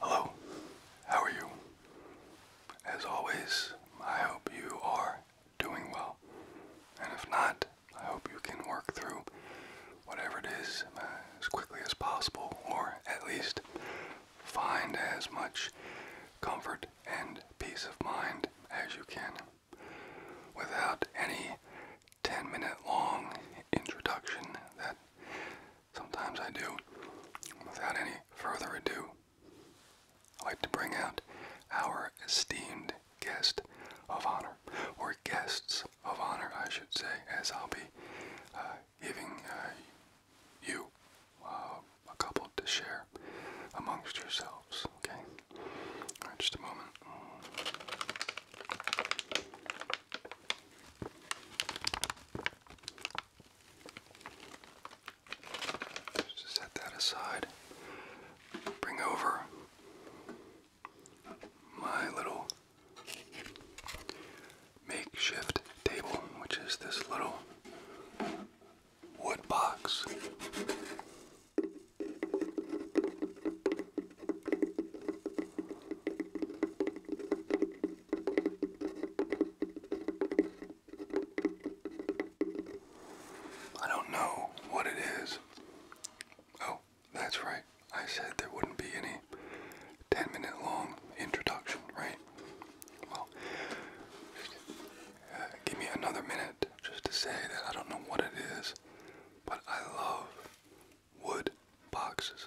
Hello, how are you? As always, I hope you are doing well. And if not, I hope you can work through whatever it is uh, as quickly as possible, or at least find as much comfort and peace of mind as you can without any 10 minute long introduction that sometimes I do. Without any further ado, I'd like to bring out our esteemed guest of honor, or guests of honor, I should say, as I'll be uh, giving uh, you uh, a couple to share amongst yourselves. Okay, just a moment. Just set that aside. Bring over my little makeshift table, which is this little wood box. I don't know what it is. Oh, that's right. I said there wouldn't be any 10 minute long introduction, right? Well, uh, give me another minute just to say that I don't know what it is, but I love wood boxes.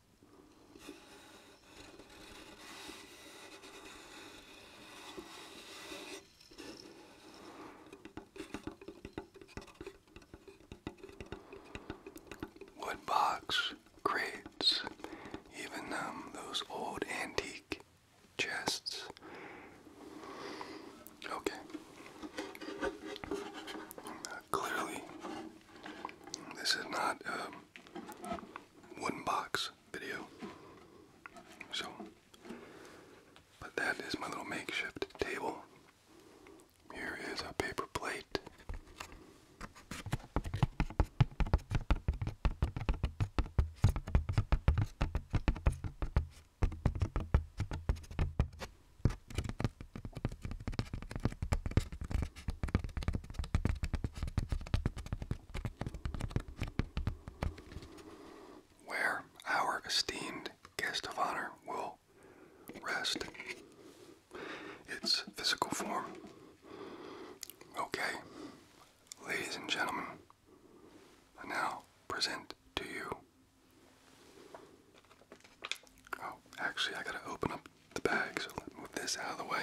Wood box crates, even um, those old antique chests. Okay. Uh, clearly, this is not a um, wooden box video. So, but that is my little makeshift table. Here is a paper plate where our esteemed guest of honor will rest. Its physical form. Okay, ladies and gentlemen, I now present to you. Oh, actually, I gotta open up the bag, so let's move this out of the way.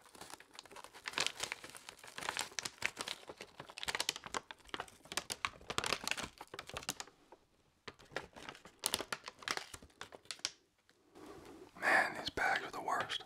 Man, these bags are the worst.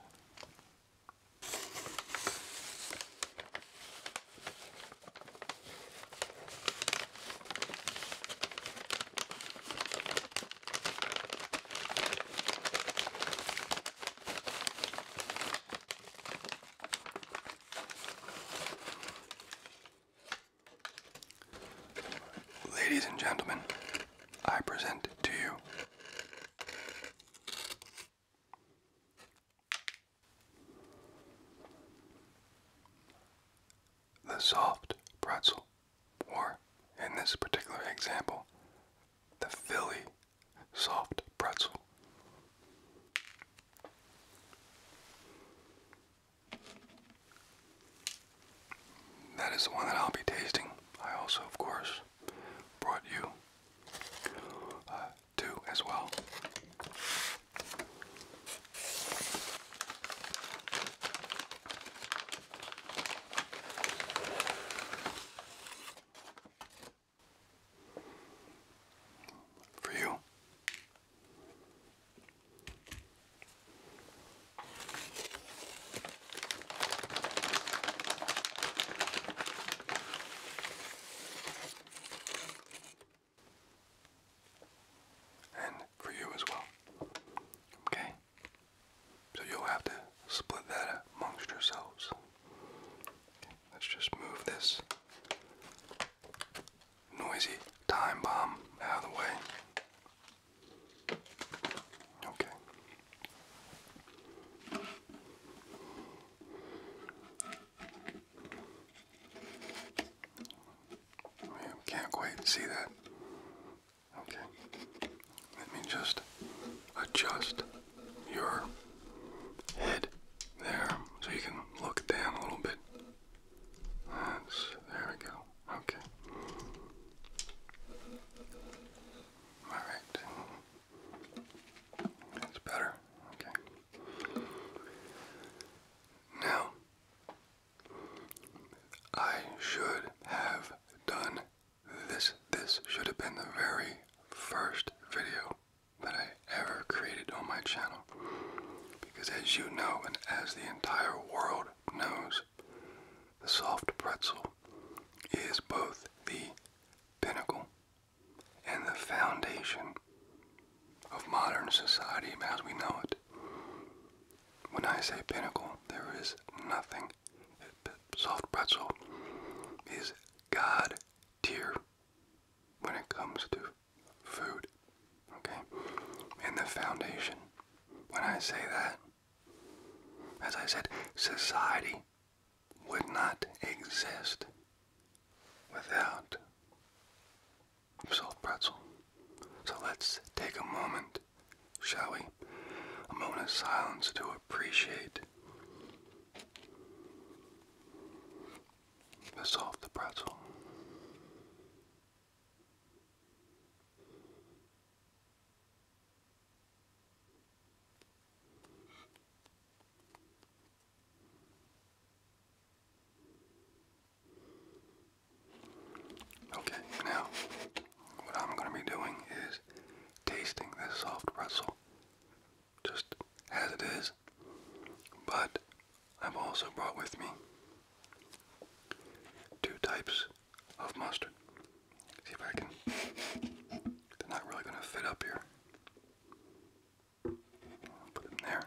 Ladies and gentlemen, I present to you the soft pretzel, or in this particular example, the Philly soft pretzel. That is the one that I'll be tasting. I also, of course, brought you uh, two as well for you. And for you as well. Okay? So you'll have to split that amongst yourselves let's just move this noisy time bomb out of the way. Okay. can't quite see that. Okay. Let me just adjust your head there so you can look down a little bit. That's, there we go. Okay. Alright. That's better. Okay. Now, I should have done this. This should have been the very first video that I ever created on my channel. Because as you know, and as the entire world knows, the soft pretzel is both the pinnacle and the foundation of modern society as we know it. When I say pinnacle, there is nothing. Soft pretzel is God dear when it comes to food. Okay? And the foundation. When I say that, as I said, society would not exist without salt pretzel. So let's take a moment, shall we? A moment of silence to appreciate this off the pretzel. Okay, now what I'm going to be doing is tasting this soft pretzel just as it is. But I've also brought with me two types of mustard. See if I can. They're not really going to fit up here. i put them there.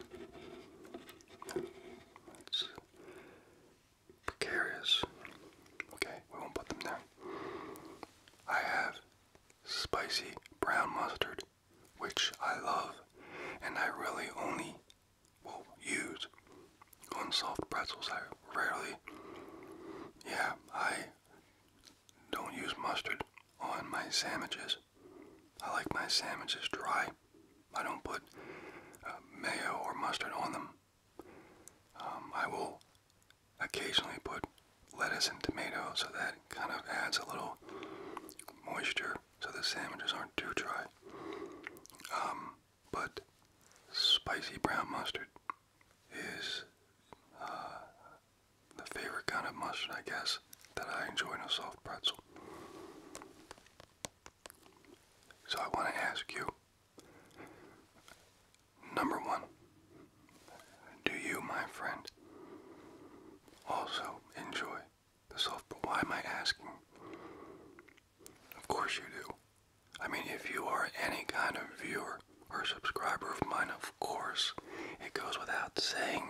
precarious. Okay, we won't put them there. I have spicy brown mustard which I love and I really only will use unsalted pretzels. I rarely, yeah, I don't use mustard on my sandwiches. I like my sandwiches dry. I don't put uh, mayo or mustard on them. Um, I will occasionally put lettuce and tomato, so that kind of adds a little moisture so the sandwiches aren't too dry. Um, but spicy brown mustard is uh, the favorite kind of mustard, I guess, that I enjoy in a soft pretzel. So I want to ask you number one, do you, my friend, also enjoy the sulfur? Why am I asking? Of course you do. I mean, if you are any kind of viewer or subscriber of mine, of course, it goes without saying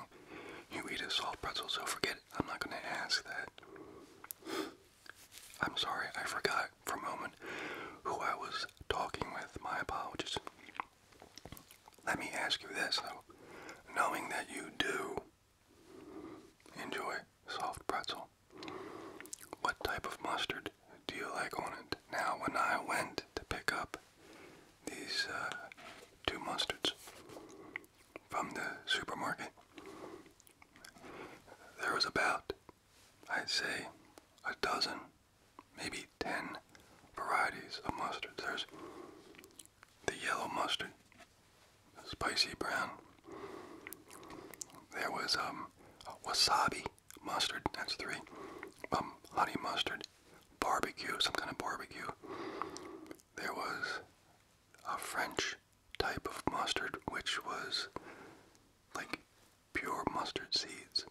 you eat a salt pretzel, so forget I'm not going to ask that. I'm sorry, I forgot for a moment who I was talking with. My apologies. Let me ask you this though. Knowing that you do enjoy soft pretzel, what type of mustard do you like on it? Now, when I went to pick up these uh, two mustards from the supermarket, there was about, I'd say, a dozen maybe 10 varieties of mustard. There's the yellow mustard, spicy brown. There was um, wasabi mustard, that's three. Um, honey mustard, barbecue, some kind of barbecue. There was a French type of mustard, which was like pure mustard seeds.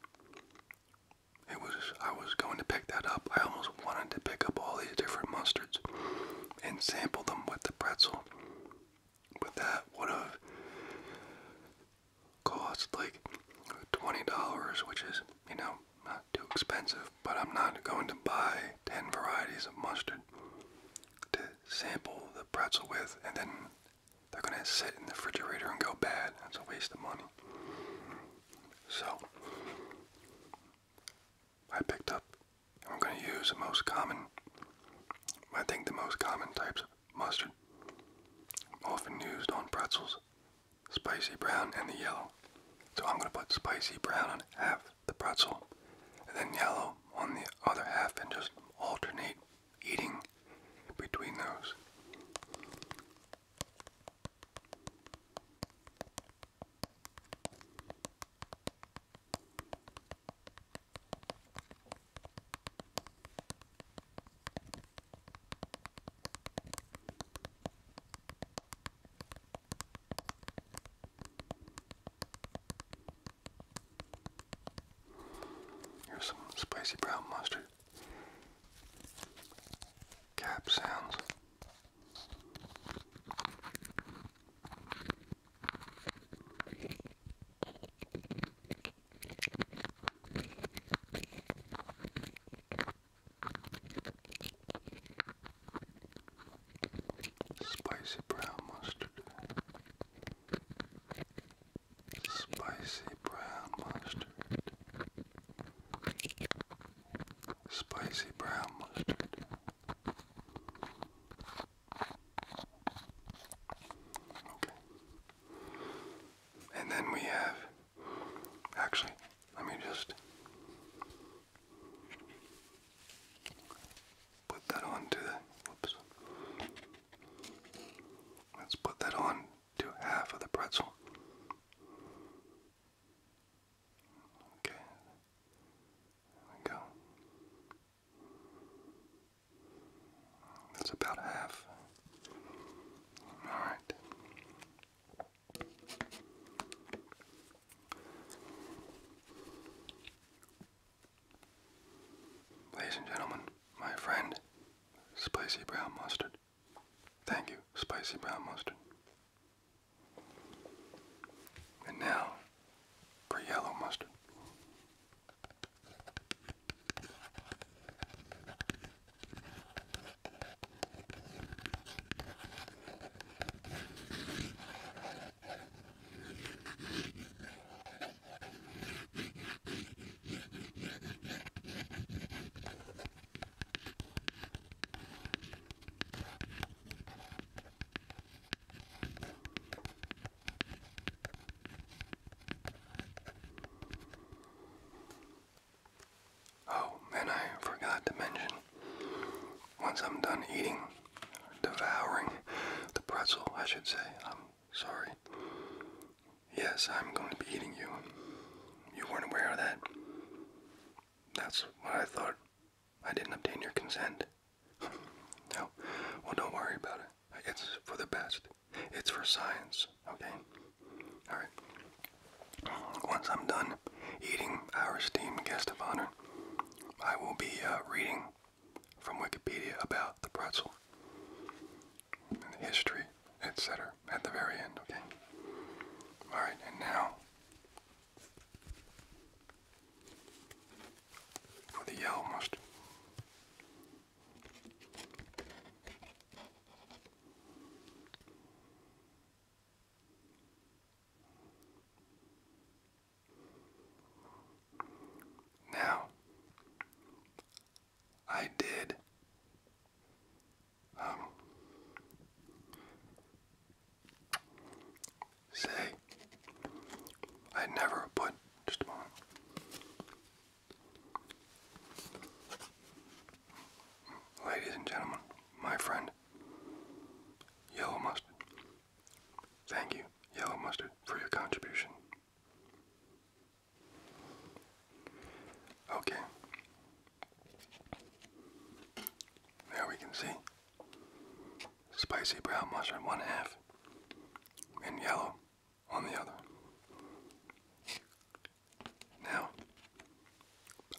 It was I was going to pick that up. I almost wanted to pick up all these different mustards and sample them with the pretzel. But that would have cost like twenty dollars, which is, you know, not too expensive, but I'm not going to buy ten varieties of mustard to sample the pretzel with and then they're gonna sit in the refrigerator and go bad. That's a waste of money. So, I picked up, I'm going to use the most common, I think the most common types of mustard, often used on pretzels, spicy brown and the yellow. So I'm going to put spicy brown on half the pretzel, and then yellow on the other half, and just alternate eating between those. Here's some spicy brown mustard cap sounds. Spicy brown mustard. Spicy brown mustard spicy brown mustard. Okay. And then we have, actually, let me just put that on to the, Let's put that on to half of the pretzel. Okay, go. That's about half. Alright. Ladies and gentlemen, my friend, Spicy Brown Mustard. Thank you, spicy brown mustard. And now for yellow mustard. Oh, man, I forgot to mention once I'm done eating, devouring the pretzel, I should say, I'm sorry. Yes, I'm going to be eating you. You weren't aware of that. That's what I thought. I didn't obtain your consent. no, well, don't worry about it. It's for the best. It's for science, okay? Alright. Once I'm done eating our esteemed guest of honor, I will be uh, reading from Wikipedia about the pretzel, the history, etc., at the very end, okay? Alright, and now or the yell must. Now, I did say I never put Ladies and gentlemen, my friend, Yellow Mustard. Thank you, Yellow Mustard, for your contribution. Okay, there we can see spicy brown mushroom one half and yellow on the other. Now,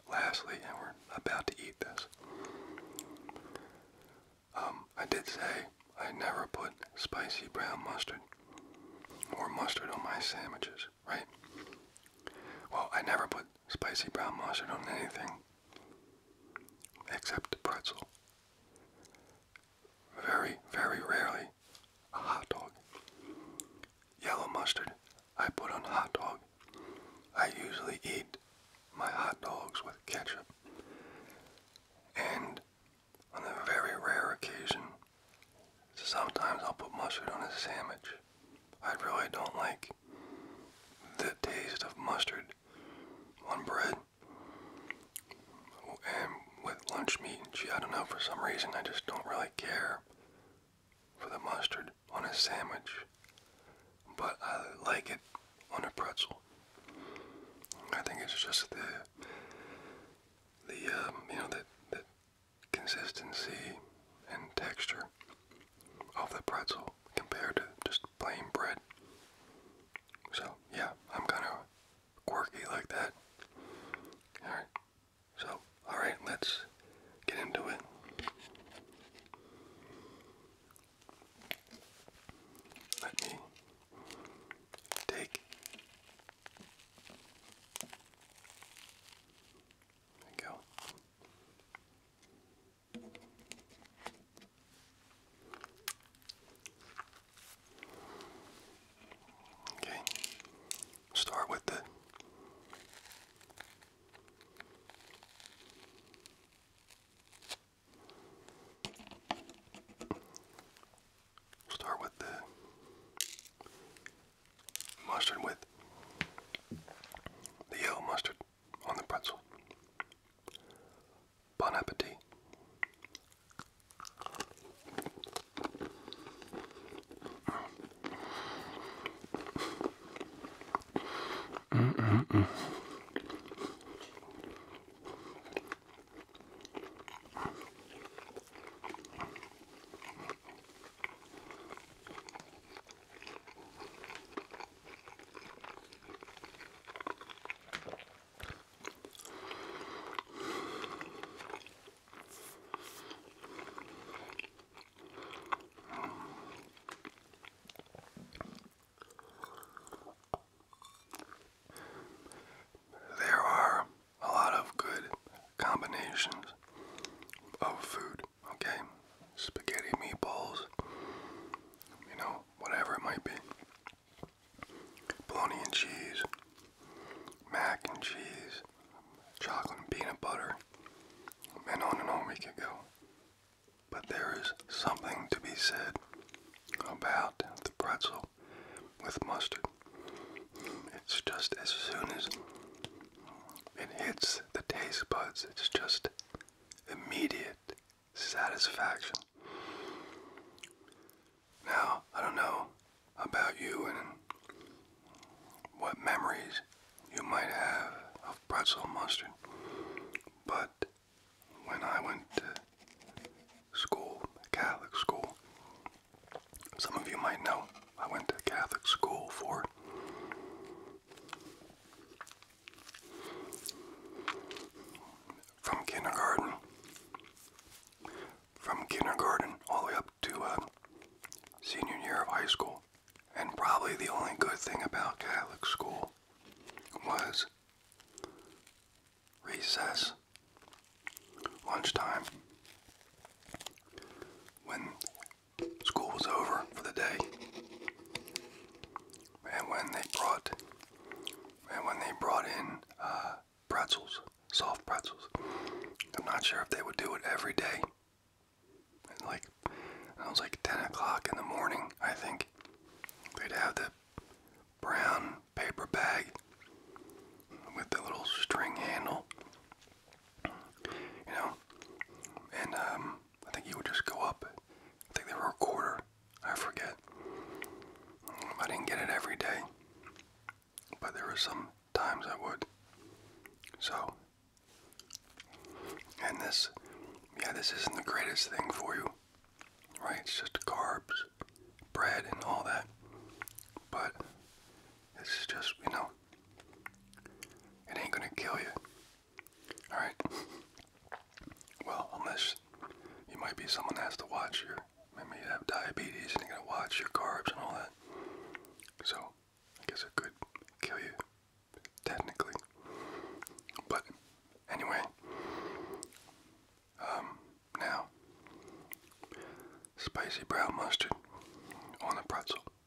lastly, and we're about to eat this. Um, I did say I never put spicy brown mustard or mustard on my sandwiches, right? Well, I never put spicy brown mustard on anything except pretzel. Very, very rarely a hot dog. Yellow mustard I put on hot dog. I usually eat my hot dogs with ketchup. And on a very rare occasion, sometimes I'll put mustard on a sandwich. I really don't like the taste of mustard on bread and with lunch meat. Gee, I don't know, for some reason I just don't really care for the mustard on a sandwich, but I like it on a pretzel. I think it's just the the um, you know the, the consistency and texture of the pretzel compared to just plain bread. So, yeah, I'm kind of quirky like that. Alright, so, alright, let's get into it. Let me take. There you go. Okay, start with the start with the mustard with the yellow mustard on the pretzel. Bon appetit. There are a lot of good combinations of food okay? Spaghetti, meatballs, you know, whatever it might be. Bologna and cheese, mac and cheese, chocolate and peanut butter, and on and on we could go. But there is something to be said about the pretzel with mustard. It's just as soon as it hits the taste buds, it's just immediate satisfaction. Now, I don't know about you and what memories you might have of pretzel mustard, but when I went to school, Catholic school, some of you might know I went to Catholic school for from kindergarten, from kindergarten all the way up to uh, senior year of high school. And probably the only good thing about Catholic school was recess, lunchtime, when school was over for the day. And when they brought, and when they brought in uh, pretzels, soft pretzels, I'm not sure if they would do it every day. like, it was like 10 o'clock in the morning, I think. They'd have the brown paper bag with the little string handle, you know, and um, I think you would just go up. I think there were a quarter. I forget. I didn't get it every day, but there were some times I would. So, and this, yeah, this isn't the greatest thing for you, right? It's just carbs, bread, and all that. But this is just, you know, it ain't gonna kill you. Alright. Well, unless you might be someone has to watch your, maybe you have diabetes and you gotta watch your carbs and all that. So, I guess it could kill you, technically. But, anyway, um, now, spicy brown mustard on a pretzel.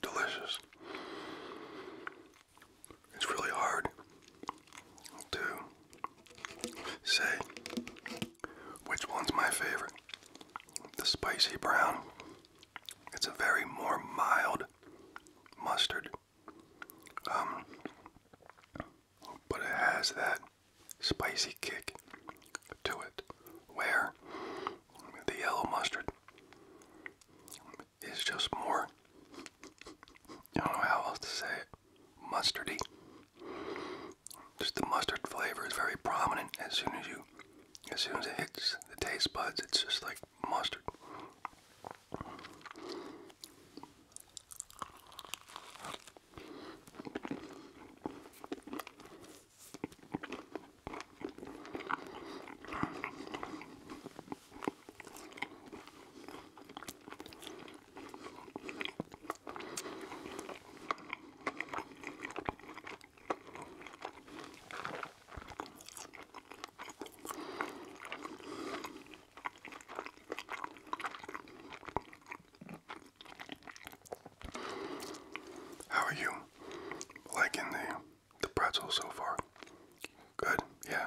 delicious. It's really hard to say which one's my favorite. The spicy brown. It's a very more mild mustard. Um, but it has that spicy kick to it where the yellow mustard it's just more, I don't know how else to say it, mustardy. Just the mustard flavor is very prominent as soon as you, as soon as it hits the taste buds, it's just like mustard. How are you liking the the pretzel so far. Good, yeah.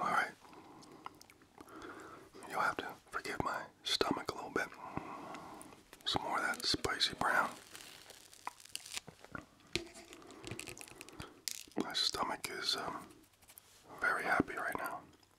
All right. You'll have to forgive my stomach a little bit. Some more of that spicy brown. My stomach is um, very happy right now.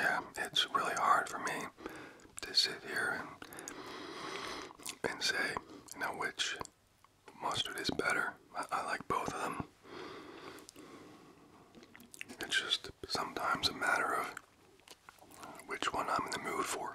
Yeah, it's really hard for me to sit here and and say, you know, which mustard is better. I like both of them. It's just sometimes a matter of which one I'm in the mood for.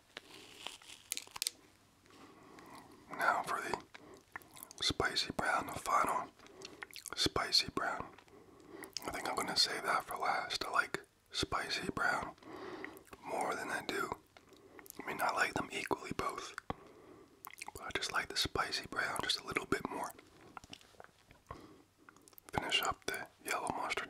Now for the spicy brown, the final spicy brown. I think I'm going to save that for last. I like spicy brown more than I do. I mean, I like them equally both. But I just like the spicy brown just a little bit more. Finish up the yellow mustard.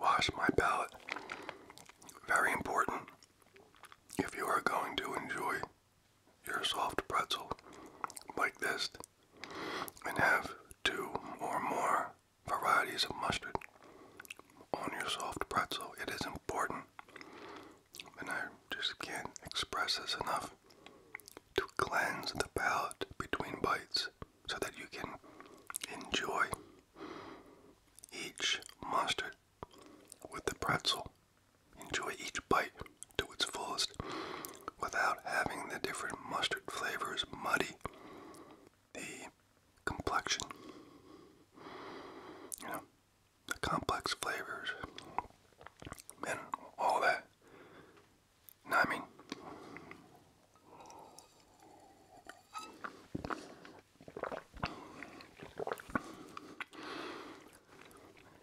Wash my palate. Very important if you are going to enjoy your soft pretzel like this and have two or more varieties of mustard on your soft pretzel. It is important, and I just can't express this enough to cleanse the palate between bites so that you can enjoy each mustard with the pretzel. Enjoy each bite to its fullest without having the different mustard flavors muddy the complexion. You know, the complex flavors and all that I mean?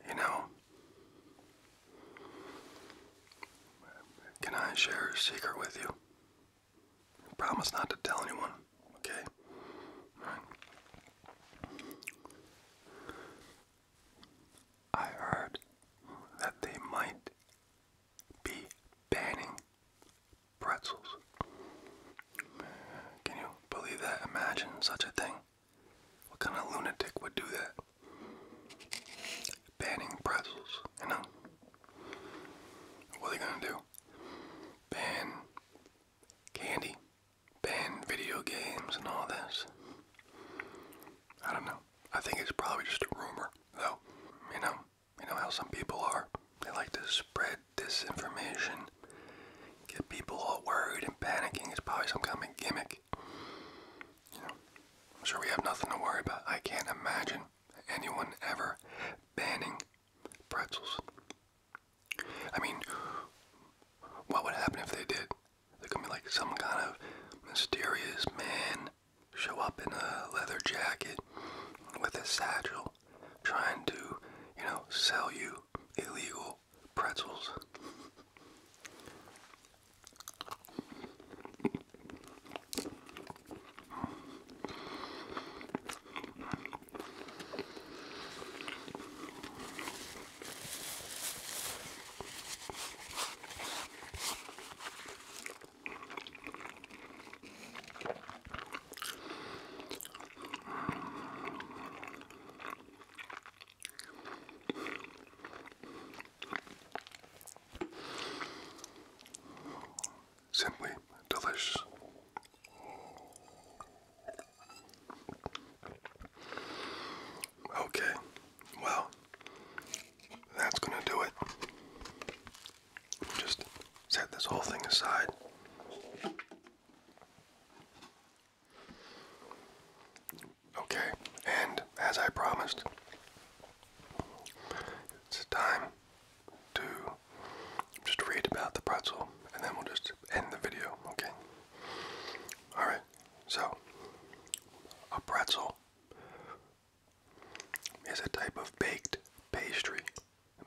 You know, can I share a secret with you? promise not to tell anyone, okay? I heard that they might be banning pretzels. Can you believe that? Imagine such a thing. What kind of lunatic would do that? Banning pretzels, you know? What are they gonna do? Ban candy? Ban video games and all this? I don't know. I think it's probably just a rumor, though. You know, you know how some people are. They like to spread disinformation, get people all worried and panicking. It's probably some kind of gimmick. You know, I'm sure we have nothing to worry about. I can't imagine anyone ever banning pretzels. I mean, what would happen if they did? There could be like some kind of mysterious man show up in a leather jacket with a satchel trying to, you know, sell you illegal pretzels. Simply delicious. Okay, well, that's gonna do it. Just set this whole thing aside. Okay, and as I promised, it's time to just read about the pretzel and then we'll just end the video, okay? Alright, so a pretzel is a type of baked pastry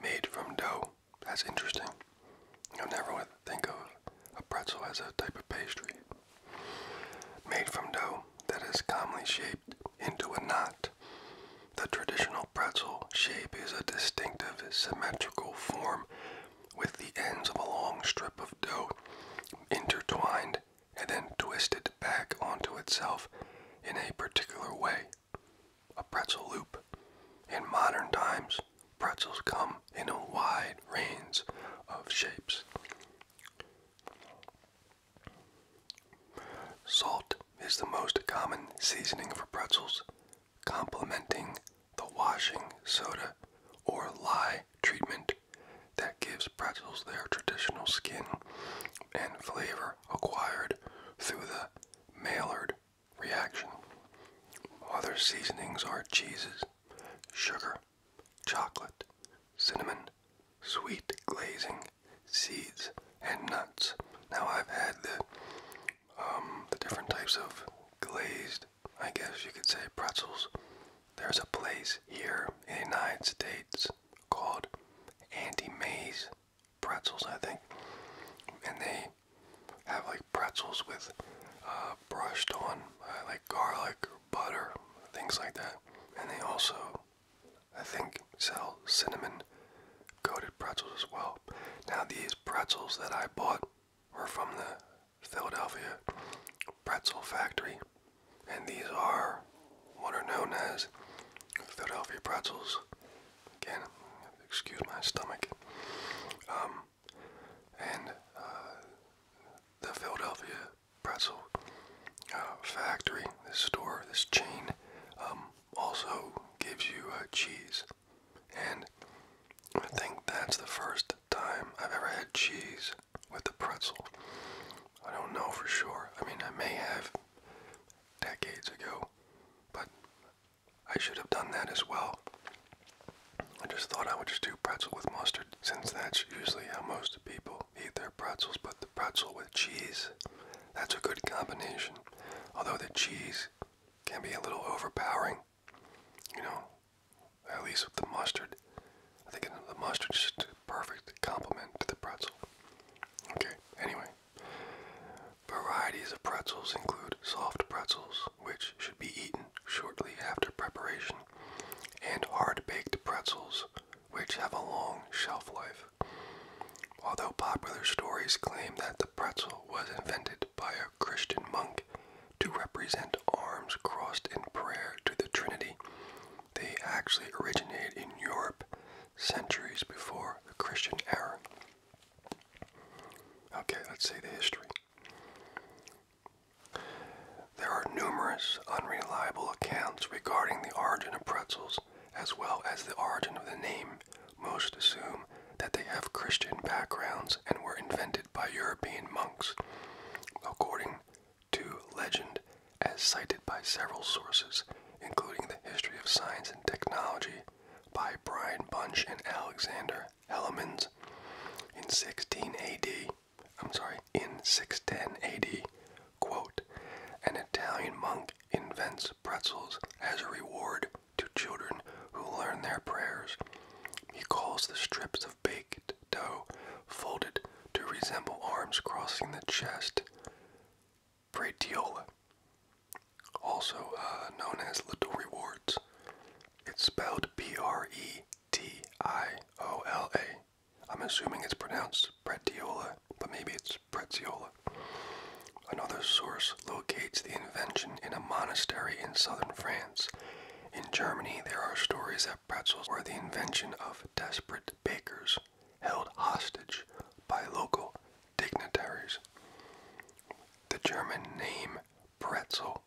made from dough. That's interesting. You'll never would think of a pretzel as a type of pastry made from dough that is commonly shaped into a knot. The traditional pretzel shape is a distinctive symmetrical form with the ends of a long strip of dough intertwined and then twist it back onto itself in a particular way. A pretzel loop. In modern times, pretzels come in a wide range of shapes. Salt is the most common seasoning for pretzels, complementing the washing soda or lye treatment that gives pretzels their traditional skin and flavor acquired through the Maillard reaction. Other seasonings are cheeses, sugar, chocolate, cinnamon, sweet glazing, seeds, and nuts. Now I've had the um, the different types of glazed, I guess you could say, pretzels there's a place here in the United States called Auntie May's Pretzels, I think, and they have like pretzels with uh, brushed on uh, like garlic or butter, things like that. And they also, I think, sell cinnamon coated pretzels as well. Now, these pretzels that I bought were from the Philadelphia Pretzel Factory and these are what are known as Philadelphia pretzels. Again, excuse my stomach. Um, and uh, the Philadelphia pretzel uh, factory, this store, this chain, um, also gives you uh, cheese. And I think that's the first time I've ever had cheese with a pretzel. I don't know for sure. I mean, I may have decades ago, but I should have done that as well. I just thought I would just do pretzel with mustard, since that's usually how most people eat their pretzels, but the pretzel with cheese, that's a good combination. Although the cheese can be a little overpowering. You know, at least with the mustard. I think the mustard is just a perfect complement to the pretzel. Okay, anyway. Varieties of pretzels include soft pretzels, which should be eaten shortly after preparation, and hard baked pretzels, which have a long shelf life. Although popular stories claim that the pretzel was invented by a Christian monk to represent arms crossed in prayer to the Trinity, they actually originated in Europe centuries before the Christian era. Okay, let's see the history. There are numerous unreliable accounts regarding the origin of pretzels as well as the origin of the name. Most assume that they have Christian backgrounds and were invented by European monks. According to legend as cited by several sources, including The History of Science and Technology by Brian Bunch and Alexander Hellemans. In 16 AD, I'm sorry, in 610 AD, an Italian monk invents pretzels as a reward to children who learn their prayers. He calls the strips of baked dough folded to resemble arms crossing the chest. Bradiola, also uh, known as Little Rewards. It's spelled B R E T I O L A. I'm assuming it's pronounced Bradiola, but maybe it's Preziola. Another source locates the invention in a monastery in southern France. In Germany, there are stories that pretzels were the invention of desperate bakers held hostage by local dignitaries. The German name pretzel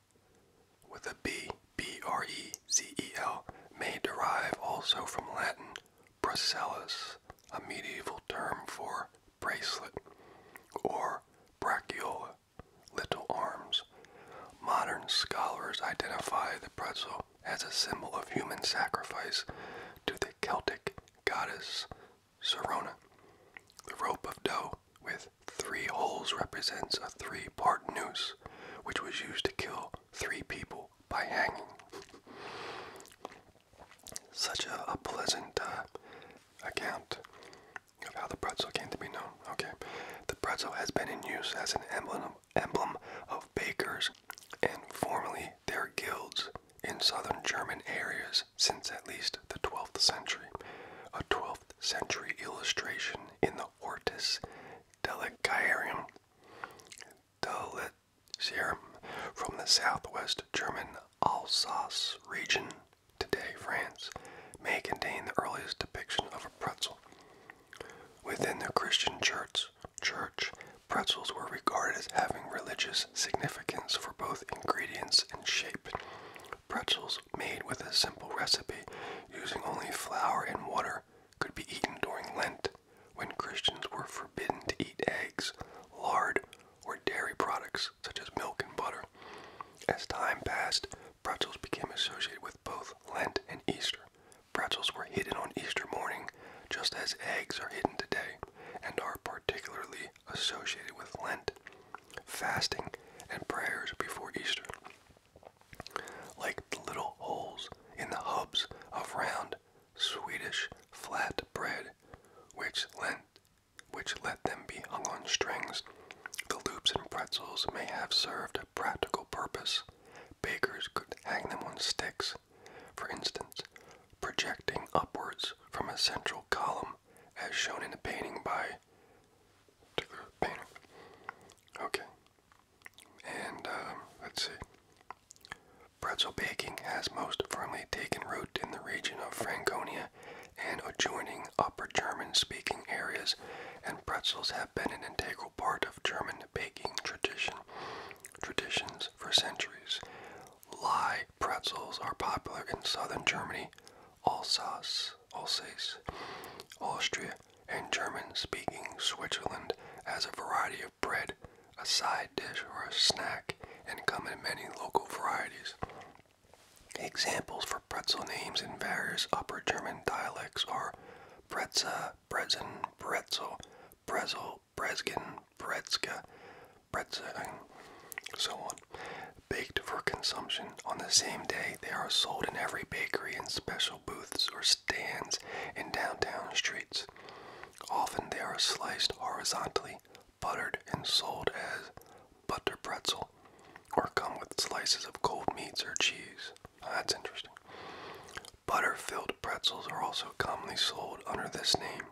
with a B, B R E Z E L, may derive also from Latin bracellus, a medieval term for bracelet, or brachiola, little arms. Modern scholars identify the pretzel as a symbol of human sacrifice to the Celtic goddess Sorona. The rope of dough with three holes represents a three part noose, which was used to kill three people by hanging. Such a, pleasant uh, account of how the pretzel came to be known. Okay, the pretzel has been in use as an emblem emblem of bakers and formerly their guilds in southern German areas since at least the 12th century. A 12th century illustration in the Hortus Delicarium from the southwest German Alsace region, today France, may contain the earliest depiction of a pretzel. Within the Christian church, church, pretzels were regarded as having religious significance for both ingredients and shape. Pretzels made with a simple recipe using only flour and water could be eaten during Lent when Christians were forbidden to eat eggs, lard, or dairy products such as milk and butter. As time passed, pretzels became associated with both Lent and Easter, Pretzels were hidden on Easter morning, just as eggs are hidden today, and are particularly associated with Lent, fasting, and prayers before Easter. Like the little holes in the hubs of round Swedish flat bread, which lent, which let them be hung on strings, the loops in pretzels may have served a practical purpose Bakers could hang them on sticks, for instance, projecting upwards from a central column, as shown in a painting by Okay. And uh, let's see. Pretzel baking has most firmly taken root in the region of Franconia and adjoining Upper German speaking areas, and pretzels have been an integral part of German baking tradition traditions for centuries. Lie pretzels are popular in southern Germany, Alsace, Austria, and German-speaking Switzerland as a variety of bread, a side dish, or a snack, and come in many local varieties. Examples for pretzel names in various Upper German dialects are Bretze, Brezen, Bretzel, Brezel, Breskin, Brezka, Bretza, and so on. Baked for consumption. On the same day, they are sold in every bakery and special booths or stands in downtown streets. Often they are sliced horizontally, buttered, and sold as butter pretzel, or come with slices of cold meats or cheese that's interesting. Butter filled pretzels are also commonly sold under this name.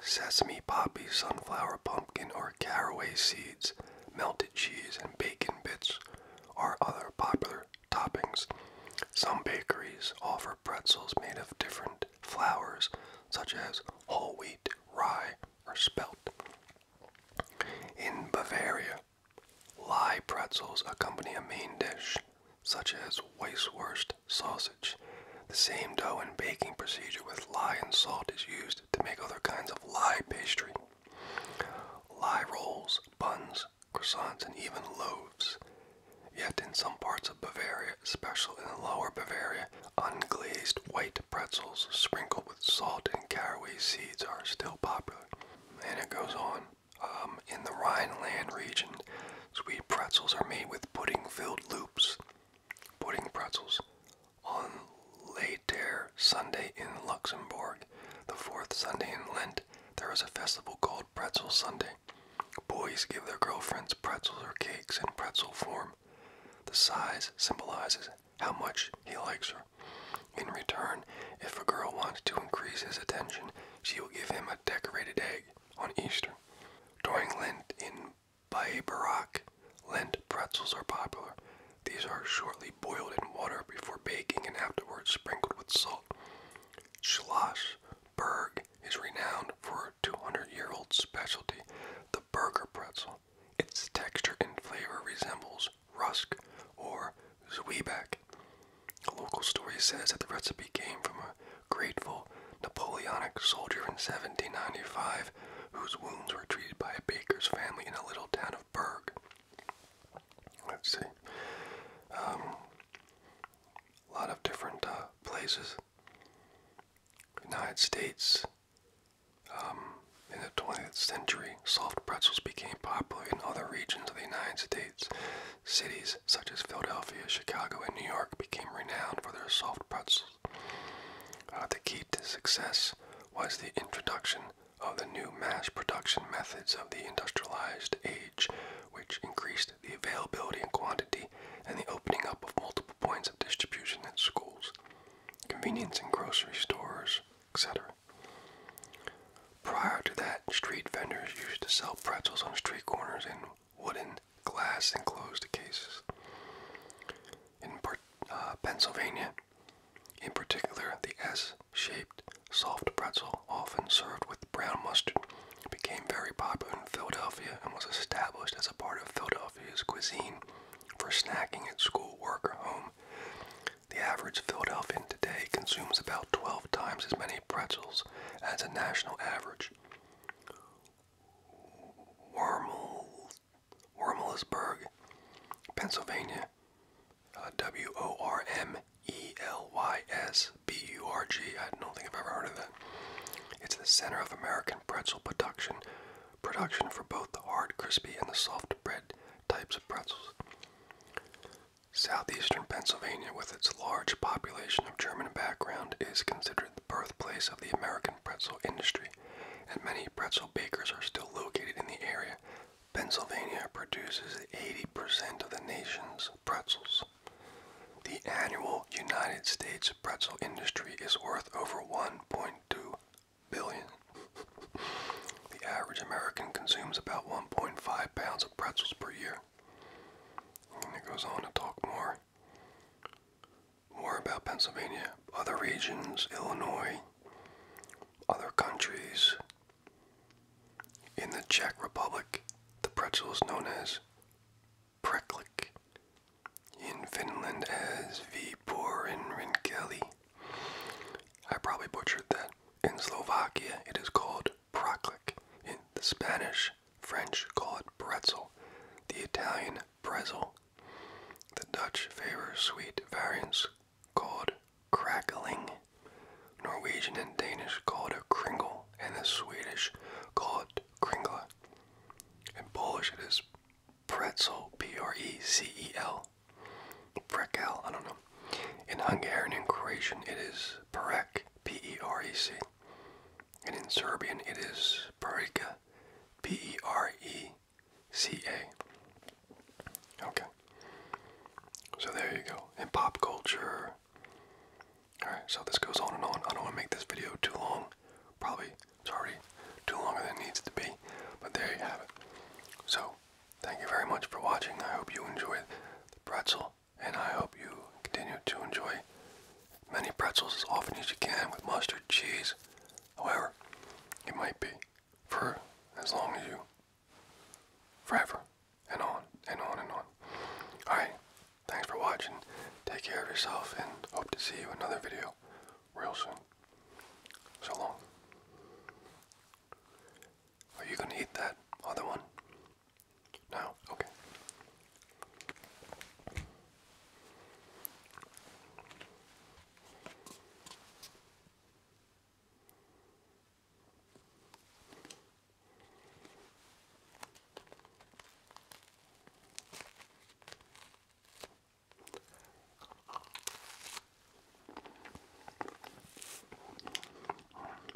Sesame, poppy, sunflower, pumpkin, or caraway seeds, melted cheese, and bacon bits are other popular toppings. Some bakeries offer pretzels made of different flours, such as whole wheat, rye, or spelt. In Bavaria, Lie pretzels accompany a main dish, such as Weisswurst sausage. The same dough and baking procedure with lie and salt is used to make other kinds of lie pastry. Lie rolls, buns, croissants, and even loaves. Yet in some parts of Bavaria, especially in Lower Bavaria, unglazed white pretzels sprinkled with salt and caraway seeds are still popular. And it goes on. Um, in the Rhineland region. Sweet pretzels are made with pudding-filled loops, pudding pretzels, on Later Sunday in Luxembourg, the fourth Sunday in Lent. There is a festival called Pretzel Sunday. Boys give their girlfriends pretzels or cakes in pretzel form. The size symbolizes how much he likes her. In return, if a girl wants to increase his attention, she will give him a decorated egg on Easter. During Lent in Baye Barak, Lent pretzels are popular. These are shortly boiled in water before baking and afterwards sprinkled with salt. Schlossberg is renowned for a 200-year-old specialty, the burger pretzel. Its texture and flavor resembles rusk or this is way back. A local story says that the recipe came from a grateful Napoleonic soldier in 1795 whose wounds were treated by a baker's family in a little town of Berg. Let's see. a um, lot of different uh, places. United States. Um, in the 20th century, soft pretzels became popular in other regions of the United States, Cities such as Philadelphia, Chicago, and New York became renowned for their soft pretzels. Uh, the key to success was the introduction of the new mass production methods of the industrialized age, which increased the availability and quantity and the opening up of multiple points of distribution at schools, convenience and grocery stores, etc. Prior to that, street vendors used to sell pretzels on street corners in wooden, glass enclosed cases. In uh, Pennsylvania, in particular, the S shaped soft pretzel, often served with brown mustard, became very popular in Philadelphia and was established as a part of Philadelphia's cuisine for snacking at school, work, or home. The average Philadelphian today consumes about 12 times as many pretzels as a national average. Wormelsburg, Pennsylvania, uh, W O R M E L Y S B U R G. I don't think I've ever heard of that. It's the center of American pretzel production, production for both the hard, crispy, and the soft bread types of pretzels. Southeastern Pennsylvania, with its large population of German background, is considered the birthplace of the American pretzel industry, and many pretzel bakers are still located in the area. Pennsylvania produces 80% of the nation's pretzels. The annual United States pretzel industry is worth over 1.2 billion. the average American consumes about 1.5 pounds of pretzels per year. And it goes on to talk more. More about Pennsylvania, other regions, Illinois, other countries. In the Czech Republic, the pretzel is known as preklik. In Finland as Vipor in Rinkeli. I probably butchered that. In Slovakia, it is called proclic. In the Spanish, French call it pretzel, the Italian brezel. The Dutch favor sweet variants called crackling. Norwegian and Danish call it a kringle, and the Swedish call it kringla. In Polish, it is pretzel, P-R-E-C-E-L, prekel, I don't know. In Hungarian and Croatian, it is perek, P E R E C. And in Serbian, it is Perica, P E R E C A. Okay. So there you go. In pop culture. Alright, so this goes on and on. I don't want to make this video too long. Probably it's already too long than needs to be. But there you have it. So, thank you very much for watching. I hope you enjoyed the pretzel and I hope you continue to enjoy many pretzels as often as you can with mustard, cheese, however it might be, for as long as you, forever, and on, and on, and on. Alright, thanks for watching, take care of yourself, and hope to see you another video real soon. So long. Are you gonna eat that other one? Now, okay.